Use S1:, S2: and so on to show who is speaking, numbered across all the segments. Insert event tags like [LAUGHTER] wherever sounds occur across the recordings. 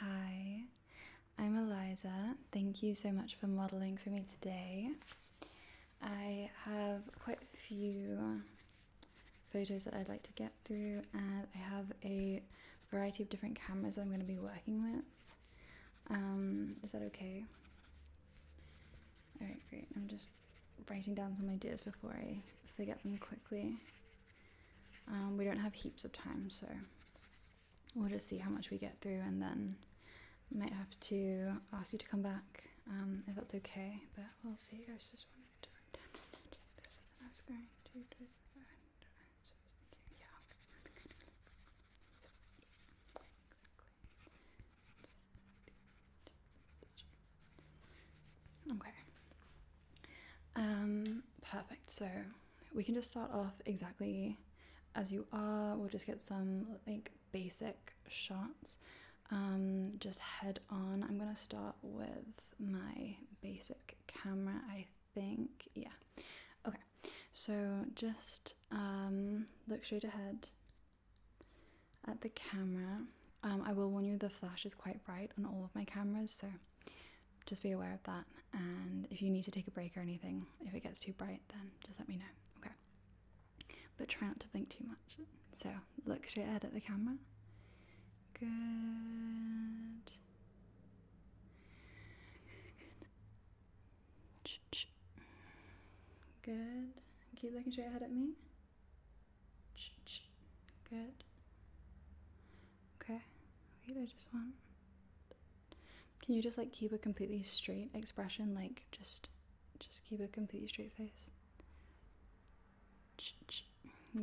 S1: Hi, I'm Eliza. Thank you so much for modeling for me today. I have quite a few photos that I'd like to get through, and I have a variety of different cameras I'm going to be working with. Um, is that okay? Alright, great. I'm just writing down some ideas before I forget them quickly. Um, we don't have heaps of time, so we'll just see how much we get through and then might have to ask you to come back um, if that's okay, but we'll see. I was just to do this and I was I was thinking, Okay, um, perfect. So we can just start off exactly as you are. We'll just get some like basic shots. Um, just head on. I'm gonna start with my basic camera, I think. Yeah. Okay. So just um, look straight ahead at the camera. Um, I will warn you the flash is quite bright on all of my cameras, so just be aware of that. And if you need to take a break or anything, if it gets too bright, then just let me know. Okay. But try not to blink too much. So look straight ahead at the camera. Good. Good. Good. Keep looking straight ahead at me. Good. Okay. Wait, I just want. Can you just like keep a completely straight expression? Like just, just keep a completely straight face.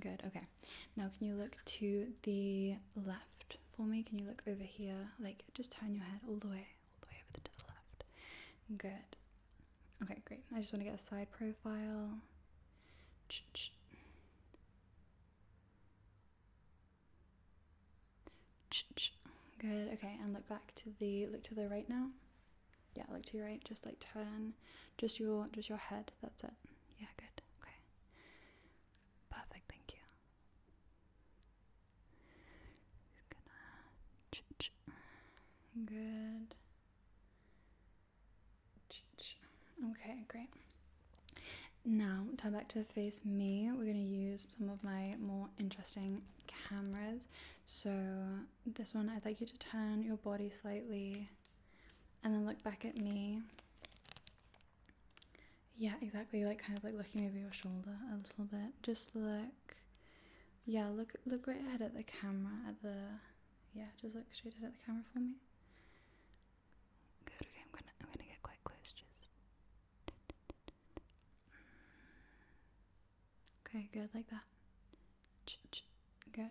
S1: Good. Okay. Now can you look to the left for me? Can you look over here? Like just turn your head all the way, all the way over to the left. Good. Okay, great. I just want to get a side profile. Good. Okay, and look back to the look to the right now. Yeah, look to your right. Just like turn, just your just your head. That's it. Yeah, good. Okay. Perfect. Thank you. Good. Okay, great. Now, to back to face me, we're going to use some of my more interesting cameras. So this one, I'd like you to turn your body slightly and then look back at me. Yeah, exactly, like kind of like looking over your shoulder a little bit. Just look, yeah, look, look right ahead at the camera, at the, yeah, just look straight ahead at the camera for me. Good. Okay, I'm gonna I'm gonna get quite close. Just okay. Good, like that. Good.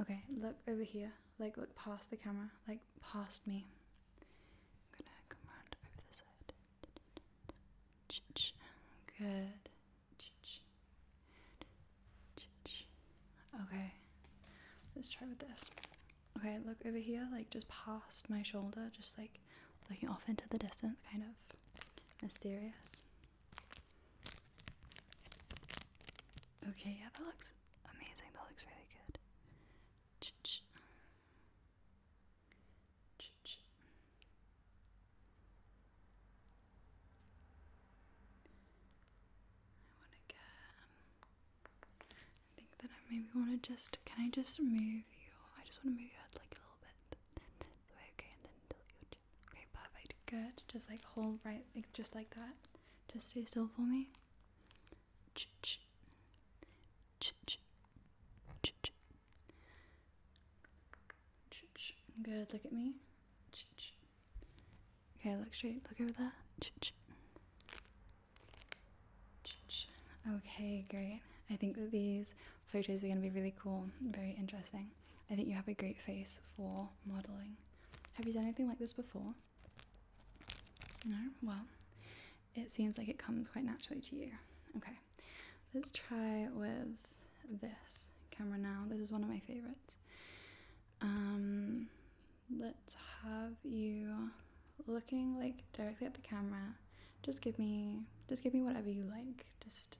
S1: Okay, look over here. Like look past the camera. Like past me. I'm gonna come round over the side. Good. Okay, let's try with this. Okay, look over here, like just past my shoulder, just like looking off into the distance, kind of mysterious. Okay, yeah, that looks amazing. That looks really good. I want to get. I think that I maybe want to just. Can I just move you? I just want to move your head like a little bit. Okay, and then tilt your Okay, perfect. Good. Just like hold right. Like, just like that. Just stay still for me. Ch ch. Ch ch. Ch ch. Ch ch. Good. Look at me. Ch ch. Okay, look straight. Look over that. okay, great. I think that these photos are going to be really cool, very interesting. I think you have a great face for modeling. Have you done anything like this before? Well, it seems like it comes quite naturally to you. Okay, let's try with this camera now. This is one of my favorites. Um, let's have you looking like directly at the camera. Just give me, just give me whatever you like. Just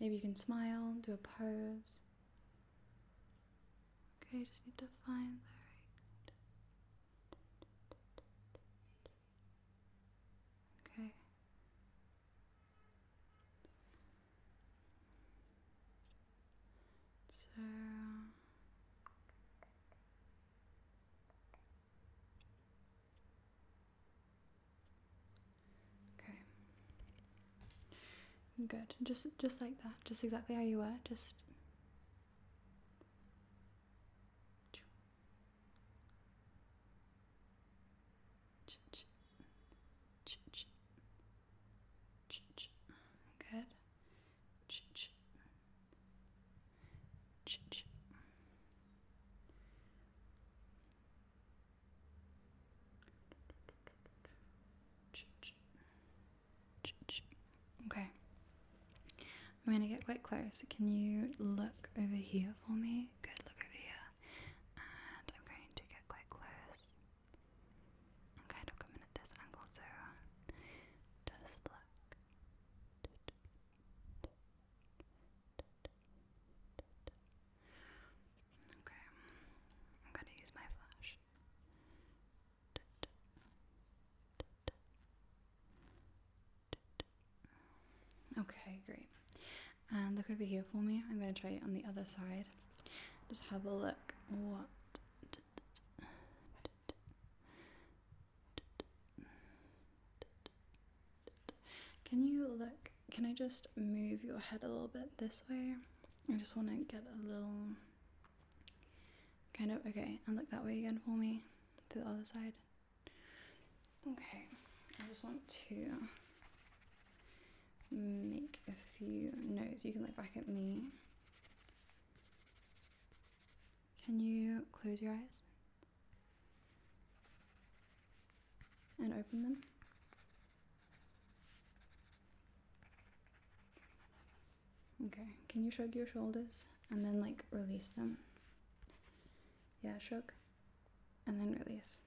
S1: maybe you can smile, do a pose. Okay, just need to find the right. Okay. So okay, good. Just just like that. Just exactly how you were. Just. Good. Okay. I'm gonna get quite close. Can you look over here for me? Good, look over here. And I'm going to get quite close i kind of coming at this angle, so just look. Okay, I'm gonna use my flash. Okay, great. And look over here for me. I'm going to try it on the other side. Just have a look. What? Can you look? Can I just move your head a little bit this way? I just want to get a little kind of okay. And look that way again for me to the other side. Okay, I just want to make a few notes. You can look back at me. Can you close your eyes? And open them? Okay, can you shrug your shoulders and then like release them? Yeah, shrug and then release.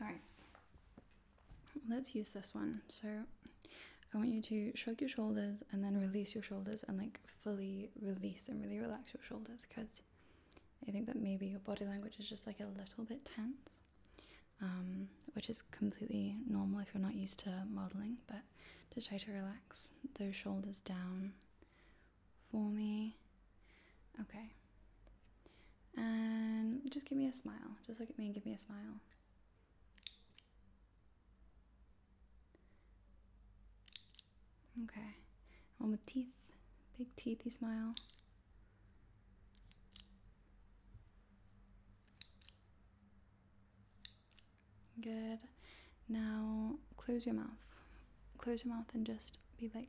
S1: All right, let's use this one. So I want you to shrug your shoulders and then release your shoulders and like fully release and really relax your shoulders because I think that maybe your body language is just like a little bit tense, um, which is completely normal if you're not used to modeling, but just try to relax those shoulders down for me. Okay. And just give me a smile. Just look at me and give me a smile. Okay. One with teeth. Big teethy smile. Good. Now close your mouth. Close your mouth and just be like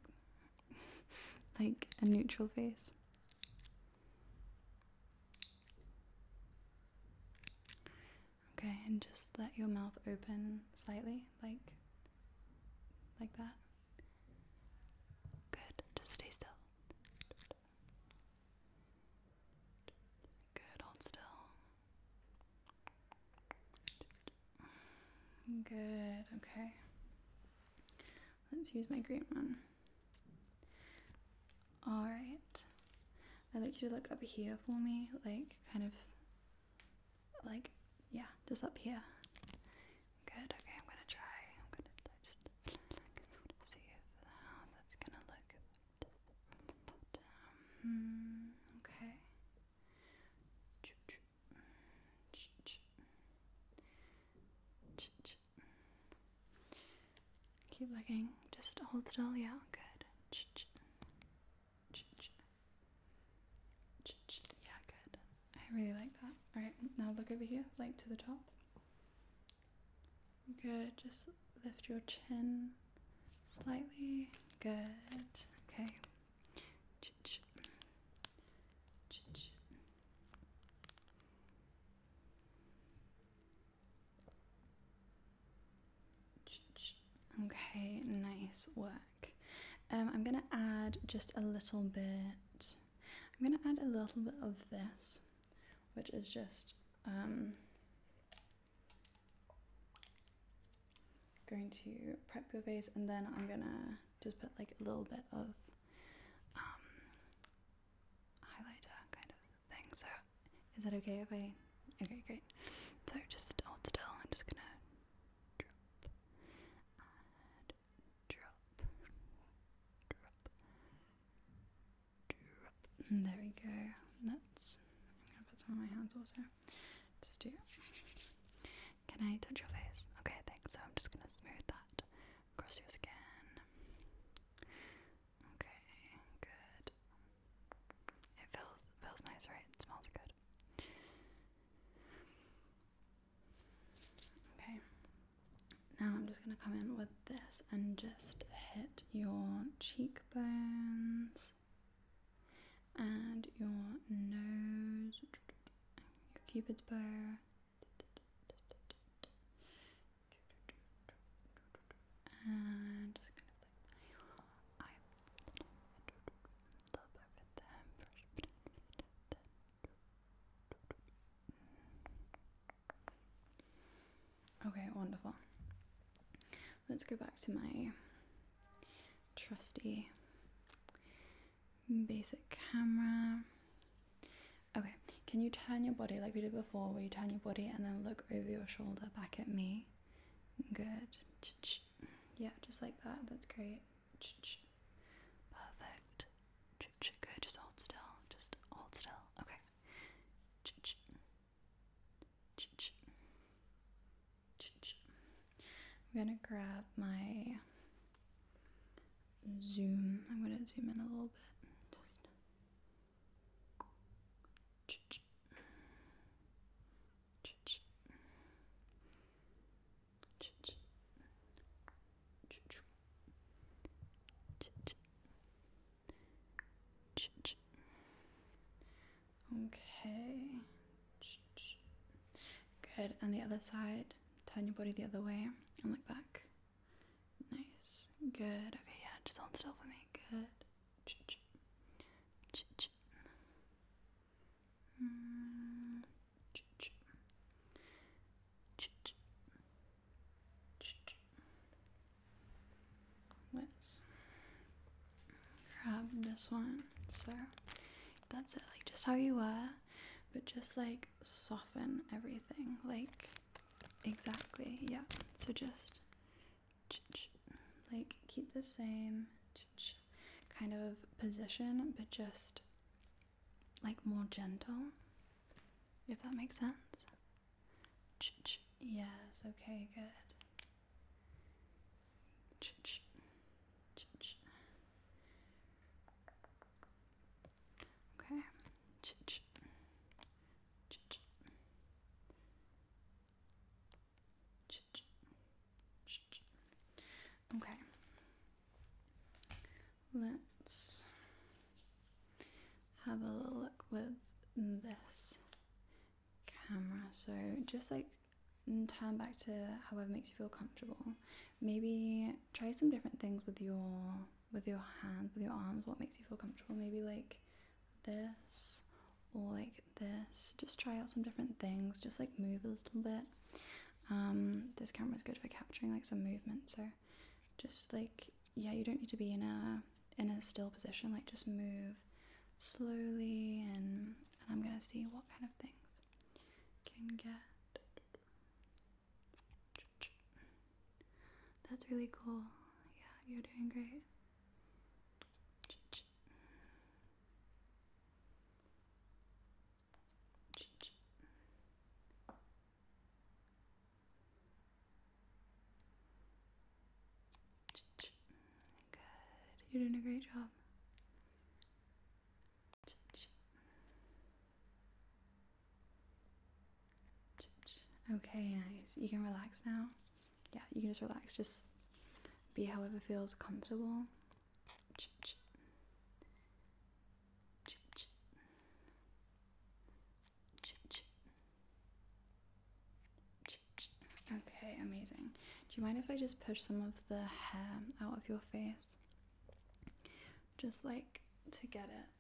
S1: [LAUGHS] like a neutral face. Okay, and just let your mouth open slightly, like like that. Good. Just stay still. Good, hold still. Good, okay. Let's use my green one. Alright. I'd like you to look up here for me, like kind of like yeah, just up here. Good, okay, I'm gonna try. I'm gonna just see how that's gonna look. Hmm, okay. Keep looking. Just hold still. Yeah, good. Yeah, good. I really like that. Alright, now look over here, like to the top. Good. Just lift your chin slightly. Good. Okay. Okay, nice work. Um, I'm gonna add just a little bit. I'm gonna add a little bit of this, which is just um, going to prep your face and then I'm gonna just put like a little bit of um, highlighter kind of thing. So is that okay if I okay great. So just hold still, I'm just gonna drop drop drop drop. There we go. That's I'm gonna put some of my hands also. Just here. Can I touch your face? Okay, thanks. So I'm just gonna smooth that across your skin. Okay, good. It feels feels nice, right? It smells good. Okay. Now I'm just gonna come in with this and just hit your cheekbones and your nose, your cupid's bow, and just kind of like your eye, top Okay, wonderful. Let's go back to my trusty basic camera. Okay, can you turn your body like we did before, where you turn your body and then look over your shoulder back at me? Good. Yeah, just like that. That's great. Perfect. Good. Just hold still. Just hold still. Okay. I'm gonna grab my zoom. I'm gonna zoom in a little bit. Okay. Good. And the other side. Turn your body the other way and look back. Nice. Good. Okay, yeah, just hold still for me. Good. let grab this one. So that's it, like just how you were, but just like soften everything. Like exactly, yeah. So just like keep the same kind of position, but just like more gentle, if that makes sense. Yes, okay, good. Okay. Okay. Let's have a look with this camera. So just like and turn back to however makes you feel comfortable. Maybe try some different things with your with your hands, with your arms, what makes you feel comfortable. Maybe like this or like this. Just try out some different things. Just like move a little bit. Um, this camera is good for capturing like some movement. So just like yeah, you don't need to be in a in a still position. Like just move slowly and, and I'm gonna see what kind of things can get. That's really cool. Yeah, you're doing great. Good. You're doing a great job. Okay, nice. You can relax now. Yeah, you can just relax. Just be however feels comfortable. Okay, amazing. Do you mind if I just push some of the hair out of your face? Just like to get it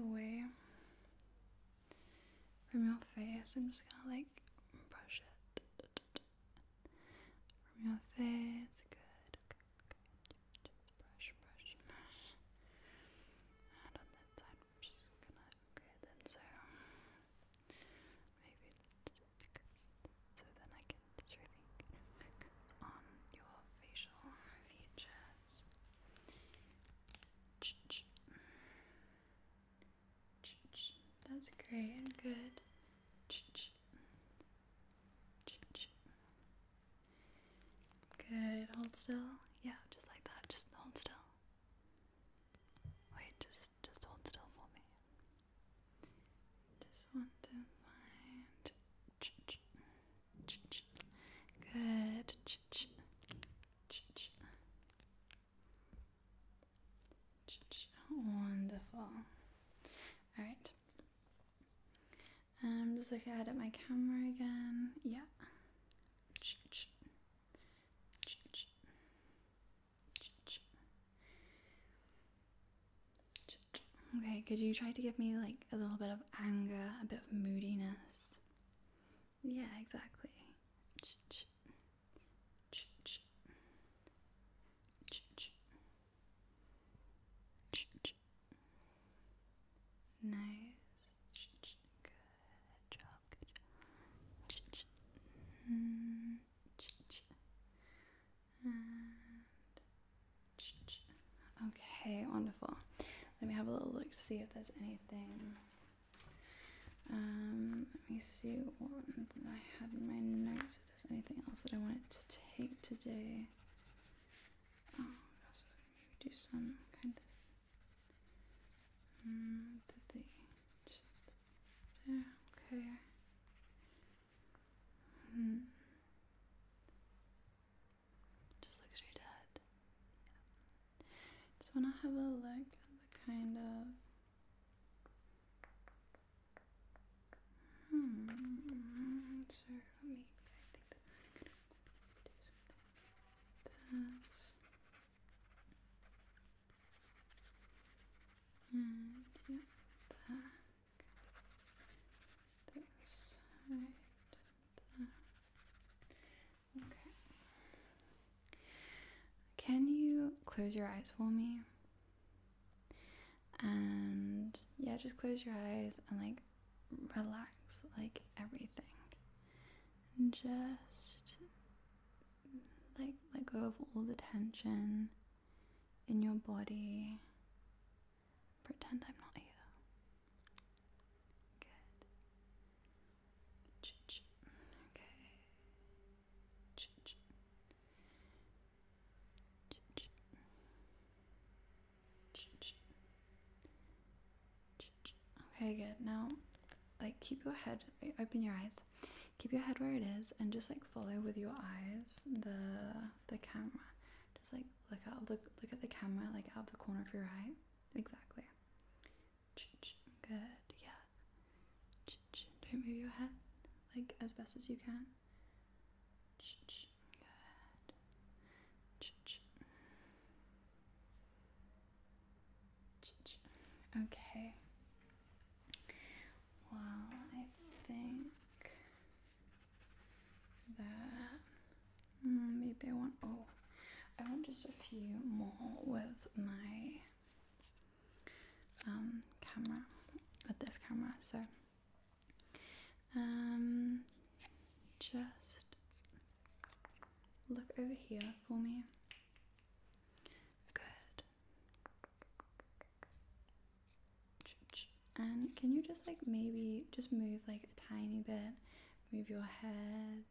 S1: away from your face. I'm just gonna like brush it from your face. Good. Okay, brush, brush, Okay, then so Maybe So then I can just really focus on your facial features. That's great and good. Good. Hold still. Yeah, just like that. Just hold still. Wait, just just hold still for me. Just want to find. Good. Wonderful. Alright. I'm um, just looking at my camera again. Yeah. Okay, could you try to give me like a little bit of anger, a bit of moodiness? Yeah, exactly. Nice. Good job. Okay, wonderful. Let me have a little look, see if there's anything. Um, let me see what I had in my notes. If there's anything else that I wanted to take today. Oh, do some kind of Mm, okay. Mm. Just look straight ahead. Just want to have a look at the kind of hmm. So maybe I think that I'm do something. Like can you close your eyes for me? And yeah, just close your eyes and like relax like everything. And just like let go of all the tension in your body. Pretend I'm not here. Good. Okay. Okay, good. Now, like, keep your head, open your eyes. Keep your head where it is and just like follow with your eyes the the camera. Just like look out, look look at the camera like out of the corner of your eye. Exactly. Good. Yeah. Don't move your head like as best as you can. Good. Okay. Well, I think that mm, maybe I want. Oh, I want just a few more with my um, camera, with this camera. So, um, just look over here for me. Good. And can you just like maybe just move like a tiny bit? Move your head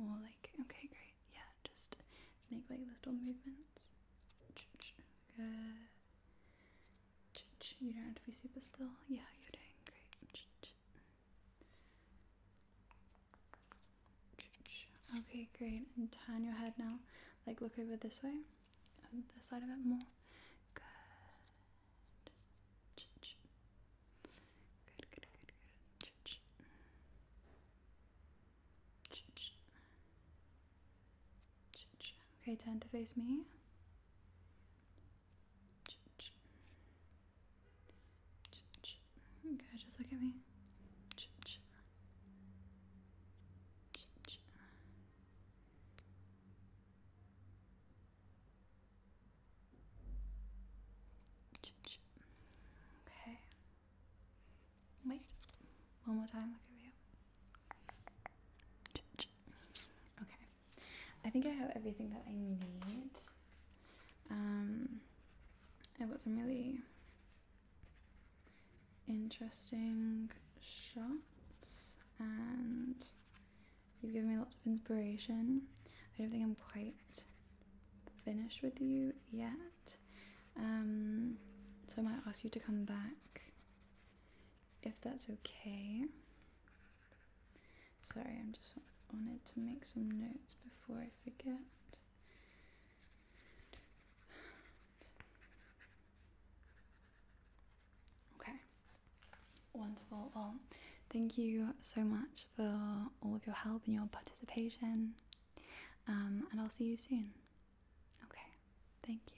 S1: or like okay, great. Yeah, just make like little movements. Good. You don't have to be super still. Yeah, you're doing great. Okay, great. And turn your head now. Like, look over this way. And this side a bit more. Good. Good, good, good, good. Okay, turn to face me. Okay, just look at me. Okay. Wait. One more time. Look over you. Okay. I think I have everything that I need. Um, I've got some really interesting shots and you've given me lots of inspiration. I don't think I'm quite finished with you yet. Um, so I might ask you to come back if that's okay. Sorry, I'm just wanted to make some notes before I forget. Okay, wonderful. Well, thank you so much for all of your help and your participation. Um, and I'll see you soon. Okay, thank you.